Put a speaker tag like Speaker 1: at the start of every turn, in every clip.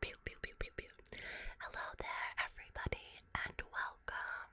Speaker 1: Pew, pew, pew, pew, pew. Hello there, everybody, and welcome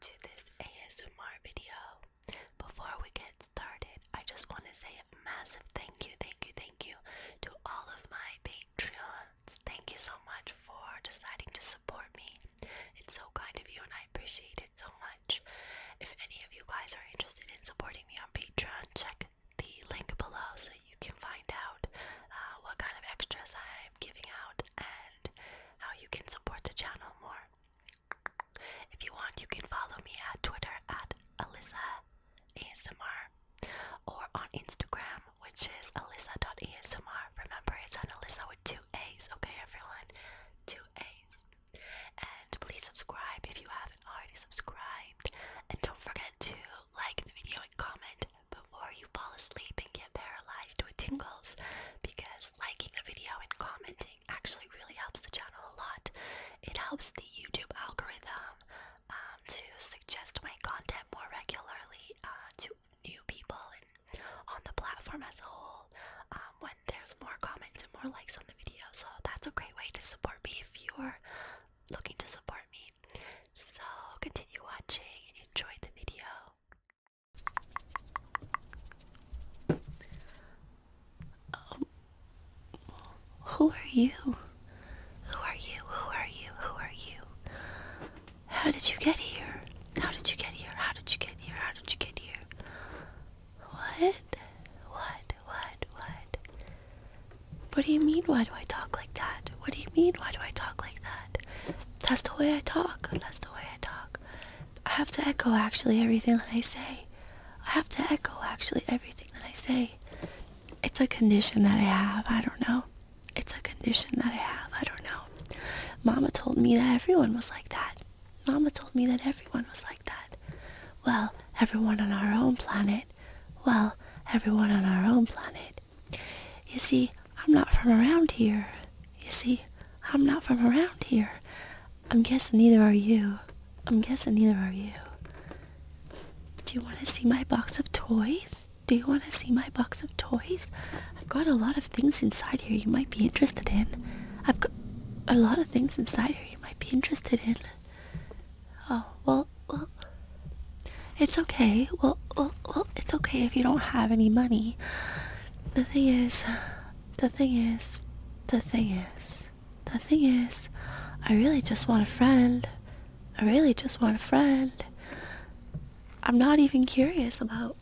Speaker 1: to this ASMR video. Before we get started, I just want to say a massive thank you, thank you, thank you to all of my Patreons. Thank you so much for deciding to support me. It's so kind of you, and I appreciate it so much. If any of you guys are interested in supporting me on Patreon, check the link below so you can find out uh, what kind of extras I'm giving out and how you can support the channel more. If you want, you can follow me at Twitter at Alyssa ASMR or on Instagram, which is Alyssa.ASMR. Remember, it's an Alyssa with two A's, okay, everyone? Two A's. And please subscribe if you haven't already subscribed. And don't forget to like the video and comment before you fall asleep and get paralyzed with tingles because liking a video and commenting actually really helps the channel a lot. It helps the YouTube algorithm um, to suggest my content more regularly uh, to new people and on the platform as a whole um, when there's more comments and more likes on the video. So that's a great way to support me if you're looking to support me. So continue watching and enjoy the video. Oh. who are you? Who are you? Who are you? Who are you? How did you get here? How did you get here? How did you get here? How did you get here? What? What? What? What? What do you mean, why do I talk like that? What do you mean, why do I talk like that? That's the way I talk. That's the way I talk. I have to echo actually everything that I say. I have to echo actually everything that I say. It's a condition that I have. I don't know. It's a condition that I have. I don't know. Mama told me that everyone was like that. Mama told me that everyone was like that. Well, everyone on our own planet. Well, everyone on our own planet. You see, I'm not from around here. You see, I'm not from around here. I'm guessing neither are you. I'm guessing neither are you. Do you want to see my box of toys? Do you want to see my box of toys? I've got a lot of things inside here you might be interested in. I've got a lot of things inside here you might be interested in. Oh, well, well, it's okay. Well, well, well, it's okay if you don't have any money. The thing is, the thing is, the thing is, the thing is, I really just want a friend. I really just want a friend. I'm not even curious about,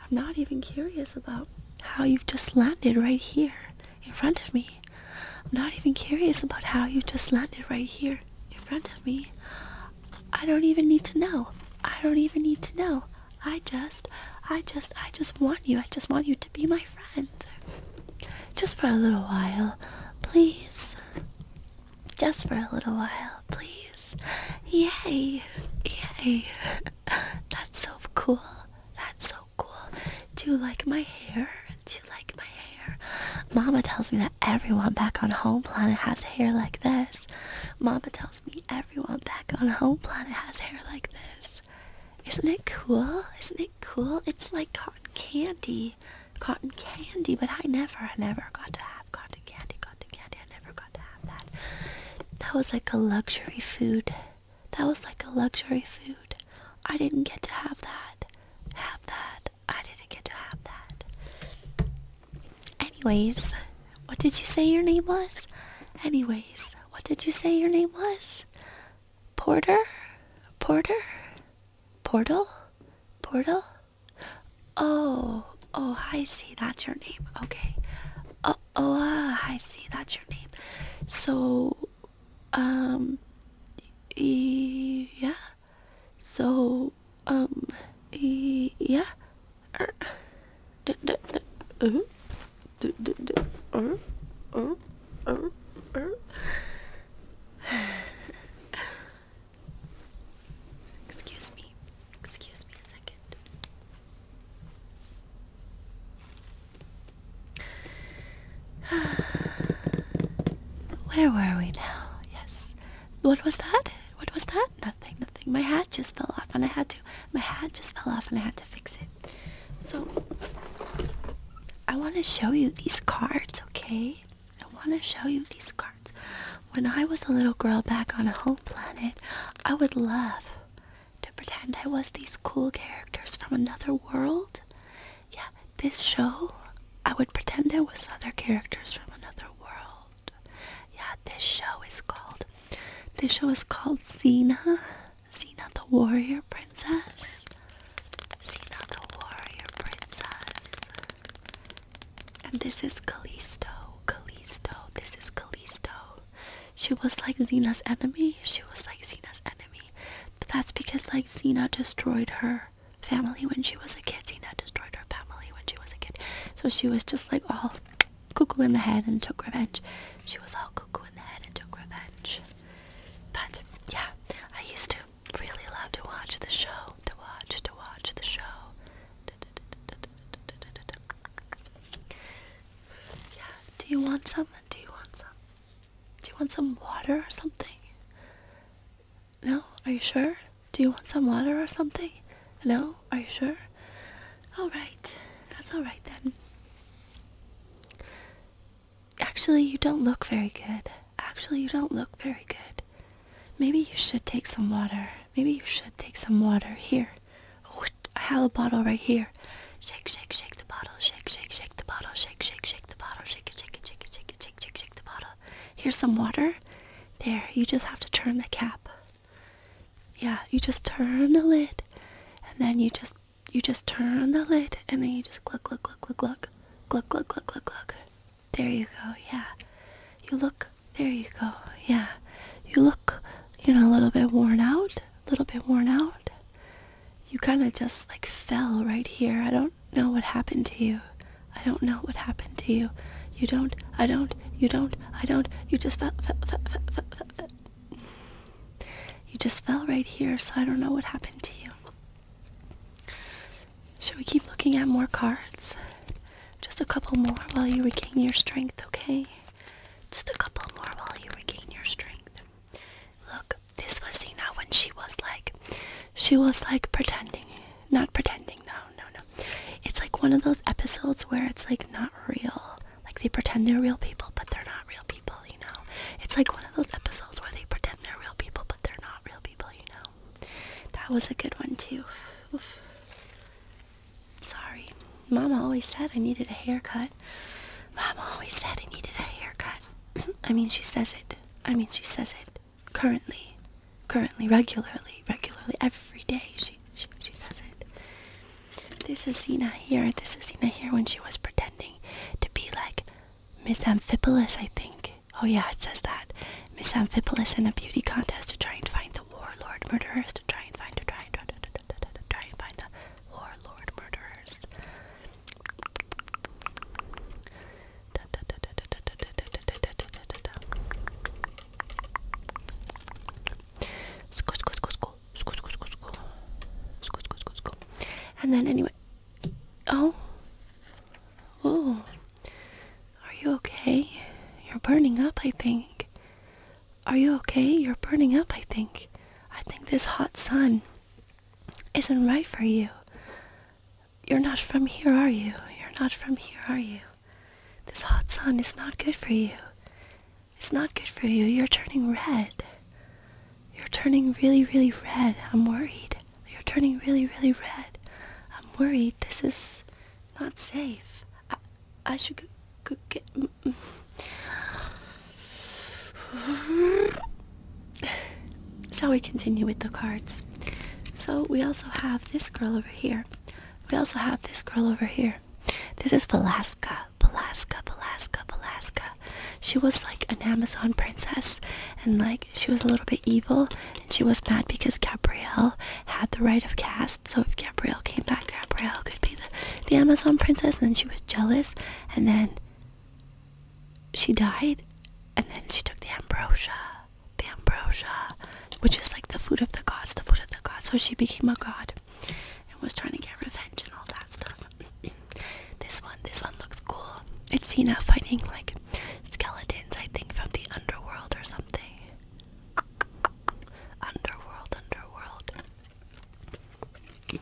Speaker 1: I'm not even curious about how you've just landed right here in front of me. I'm not even curious about how you just landed right here in front of me. I don't even need to know. I don't even need to know. I just, I just, I just want you. I just want you to be my friend. Just for a little while, please. Just for a little while, please. Yay. Yay. That's so cool. That's so cool. Do you like my hair? do like my hair. Mama tells me that everyone back on home planet has hair like this. Mama tells me everyone back on home planet has hair like this. Isn't it cool? Isn't it cool? It's like cotton candy. Cotton candy, but I never, I never got to have cotton candy, cotton candy. I never got to have that. That was like a luxury food. That was like a luxury food. I didn't get to have that. Have that. I didn't get to have that. Anyways, what did you say your name was? Anyways, what did you say your name was? Porter? Porter? Portal? Portal? Oh, oh, I see. That's your name. Okay. Oh, oh, ah, I see. That's your name. So, um, yeah. So, um, e yeah. Er, d d d uh, d d d er, er, er, er. Excuse me. Excuse me a second. Where were we now? Yes. What was that? What was that? Nothing, nothing. My hat just fell off and I had to, my hat just fell off and I had to fix it. So, I want to show you these cards, okay? I want to show you these cards. When I was a little girl back on a home planet, I would love to pretend I was these cool characters from another world yeah, this show, I would pretend it was other characters from another world. Yeah, this show is called. This show is called Xena. Xena the Warrior Princess. Xena the Warrior Princess. And this is Callisto. Callisto. This is Callisto. She was like Xena's enemy. She was like Xena's enemy. But that's because like Xena destroyed her family when she was a kid. Xena destroyed her family when she was a kid. So she was just like all cuckoo in the head and took revenge. She was all cuckoo in the head and took revenge. But yeah, I used to really love to watch the show. To watch, to watch the show. Yeah. Do you want some? Do you want some? Do you want some water or something? No? Are you sure? Do you want some water or something? No? Are you sure? Alright. That's alright then. Actually, you don't look very good. Actually, you don't look very good. Maybe you should take some water. Maybe you should take some water. Here. Oh, I have a bottle right here. Shake, shake, shake the bottle. Shake, shake, shake the bottle. Shake, shake, shake the bottle. Shake it, shake it, shake it, shake it, shake, shake, shake the bottle. Here's some water. There, you just have to turn the cap. Yeah, you just turn the lid, and then you just you just turn the lid, and then you just look, look, look, look, look, look, look, look, look, look. There you go. Yeah, you look. There you go. Yeah, you look. You know, a little bit worn out. A little bit worn out. You kind of just like fell right here. I don't do know what happened to you. I don't know what happened to you. You don't, I don't, you don't, I don't, you just fell, You just fell right here, so I don't know what happened to you. Shall we keep looking at more cards? Just a couple more while you regain your strength, okay? Just a couple more while you regain your strength. Look, this was Zena when she was like, she was like pretending, not pretending. No, no, no. It's like one of those episodes where it's like not real. Like they pretend they're real people, but they're not real people. You know, it's like one of those episodes where they pretend they're real people, but they're not real people. You know, that was a good one too. Oof. Sorry, Mama always said I needed a haircut. Mama always said I needed a haircut. I mean, she says it. I mean, she says it currently, currently, regularly, regularly, every day. She she, she says it. This is Zena here. This is Zena here when she was pretending to be like Miss Amphipolis, I think. Oh yeah, it says that. Miss Amphipolis in a beauty contest to try and find the warlord murderers, to try and find to try and try, try and find the warlord murderers. And then anyway, oh, oh, are you okay? You're burning up, I think. Are you okay? You're burning up, I think. I think this hot sun isn't right for you. You're not from here, are you? You're not from here, are you? This hot sun is not good for you. It's not good for you. You're turning red. You're turning really, really red. I'm worried. You're turning really, really red. I'm worried. This is not safe. I, should go, get. Shall we continue with the cards? So we also have this girl over here. We also have this girl over here. This is Velasca. Velasca, Velasca, Velasca. She was like an Amazon princess and like she was a little bit evil and she was mad because Gabrielle had the right of cast. So if Gabrielle came back, Gabrielle could be the, the Amazon princess and she was jealous and then she died and then she took the ambrosia the ambrosia which is like the food of the gods the food of the gods so she became a god and was trying to get revenge and all that stuff this one this one looks cool it's Cena fighting like skeletons I think from the underworld or something underworld underworld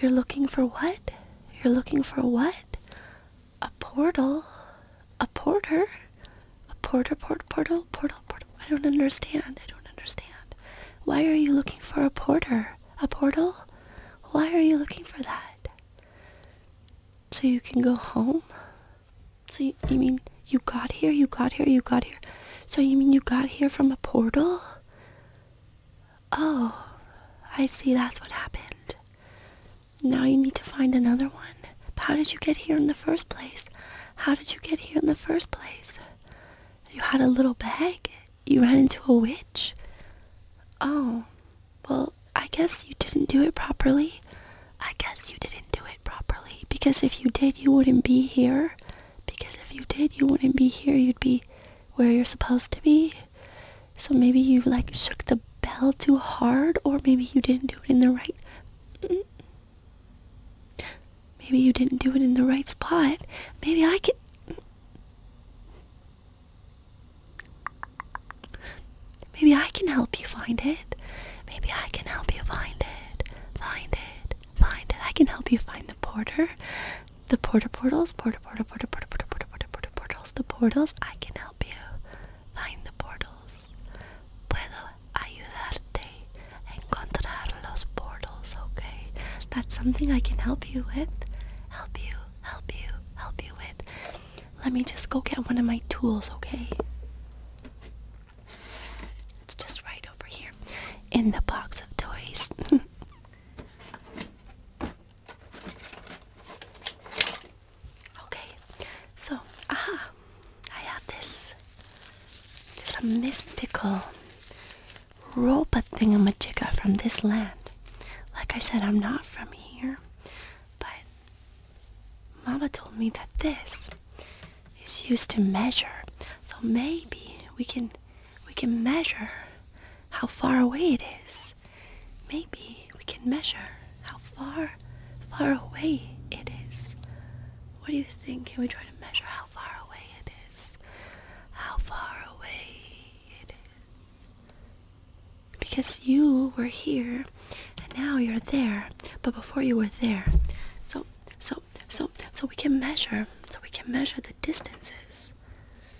Speaker 1: You're looking for what? You're looking for what? A portal? A porter? A porter, port, portal, portal, portal. I don't understand. I don't understand. Why are you looking for a porter? A portal? Why are you looking for that? So you can go home? So you, you mean you got here, you got here, you got here. So you mean you got here from a portal? Oh, I see that's what happened. Now you need to find another one. How did you get here in the first place? How did you get here in the first place? You had a little bag? You ran into a witch? Oh, well, I guess you didn't do it properly. I guess you didn't do it properly. Because if you did, you wouldn't be here. Because if you did, you wouldn't be here. You'd be where you're supposed to be. So maybe you like shook the bell too hard, or maybe you didn't do it in the right. Mm, maybe you didn't do it in the right spot. Maybe I can. Maybe I can help you find it. Maybe I can help you find it. Find it. Find it. I can help you find the porter. The portal portals, portal portal portal portal portal portal portals, the portals. I can help you find the portals. Puedo ayudarte encontrar los portals. Okay, that's something I can help you with. Help you, help you, help you with. Let me just go get one of my tools. Okay. It's just right over here in the box of toys. Okay, so aha, I have this this a mystical robot thingamajigga from this land. Like I said, I'm not from here, but Mama told me that this is used to measure. So maybe we can we can measure how far away it is. Maybe we can measure how far, far away it is. What do you think? Can we try to measure how far away it is? How far away it is. Because you were here and now you're there, but before you were there. So, so, so, so we can measure, so we can measure the distances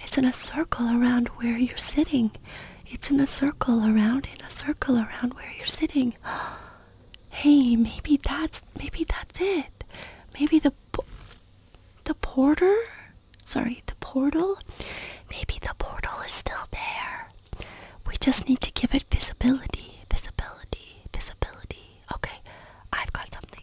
Speaker 1: It's in a circle around where you're sitting. It's in a circle around, in a circle around where you're sitting. hey, maybe that's, maybe that's it. Maybe the, the porter, sorry, the portal. Maybe the portal is still there. We just need to give it visibility, visibility, visibility. Okay, I've got something.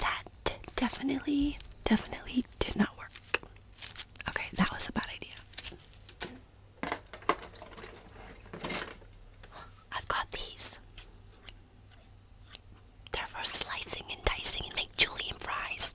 Speaker 1: That definitely, definitely did not work. Okay, that was a bad idea. I've got these. They're for slicing and dicing and make julienne fries.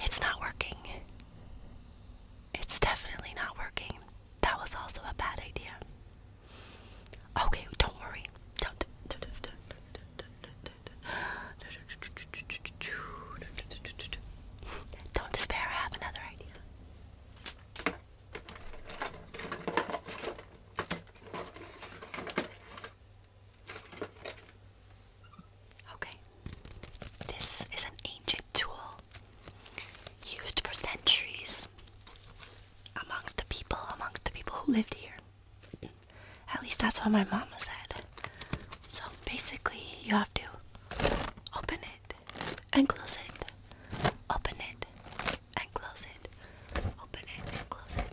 Speaker 1: it's not working. It's definitely not working. That was also a bad idea. Okay, don't worry. Don't. despair, I have another idea. Okay, this is an ancient tool used for centuries amongst the people, amongst the people who lived here. At least that's what my mama said. So basically, you have to open it and close it, open it and close it, open it and close it.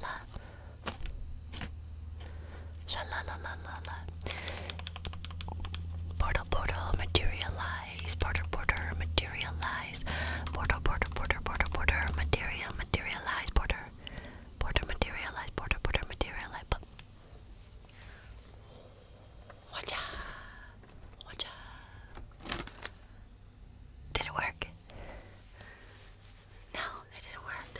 Speaker 1: la. Sha la la la la la. Portal, portal, materialize. Portal, portal, materialize. Portal, portal, portal, portal, portal, material, materialize. Portal, portal, materialize. Portal, portal, materialize. Watcha, watcha. Did it work? No, it didn't work.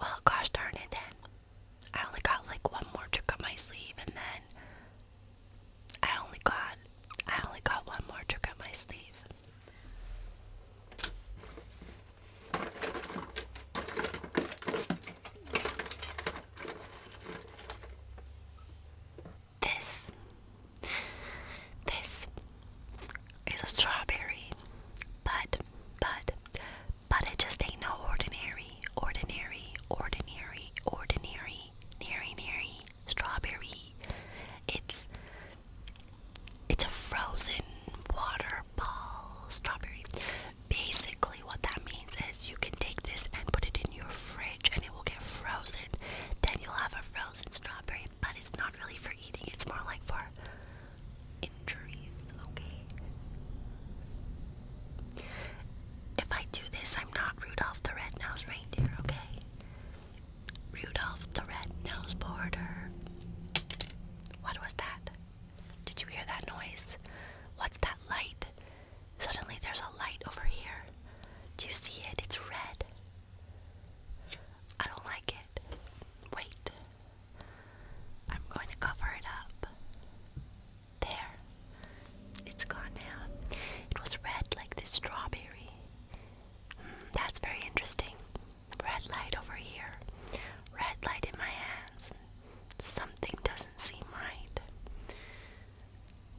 Speaker 1: Well, gosh darn it then. I only got like one more trick up my sleeve and then I only got I only got one more trick up my sleeve. This. This is a strawberry, but, but, but it just ain't no ordinary, ordinary, ordinary, ordinary, nary, strawberry. It's, it's a frozen water ball strawberry. Basically, what that means is you can take this and put it in your fridge and it will get frozen. Then you'll have a frozen strawberry, but it's not really for eating, it's more like for injuries, okay? If I do this, I'm not Rudolph the Red-Nosed Reindeer, okay? Rudolph the Red-Nosed Border. What was that? Did you hear that noise? What's that light? Suddenly there's a light over here. Do you see it? It's red. I don't like it. Wait. I'm going to cover it up. There. It's gone now. It was red like this strawberry. Hmm, that's very interesting. Red light over here. Red light in my hands. Something doesn't seem right.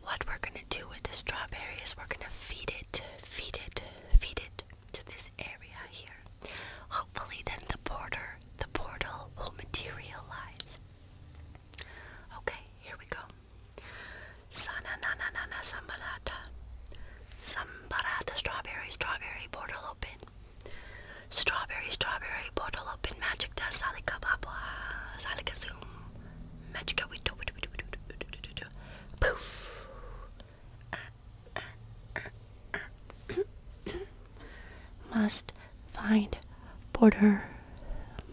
Speaker 1: What we're gonna do with the strawberry is we're gonna feed it, feed it, feed it to this area here. Hopefully, then the border, the portal will materialize. Okay, here we go. Sana na sambarata, sambarata strawberry, strawberry portal open. Strawberry, strawberry portal open. Magic does salika babwa, salika zoom. Magica we do it. Poof. Must find border.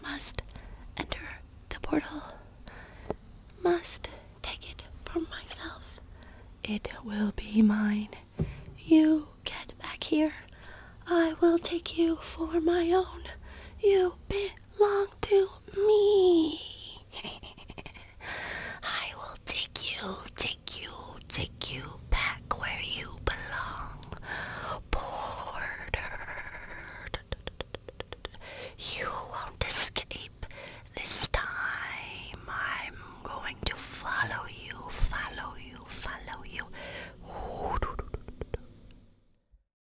Speaker 1: Must enter the portal. Must take it from myself. It will be mine. You get back here. I will take you for my own. You be belong to me. I will take you, take you, take you back where you belong. Bordered. You won't escape this time. I'm going to follow you, follow you, follow you.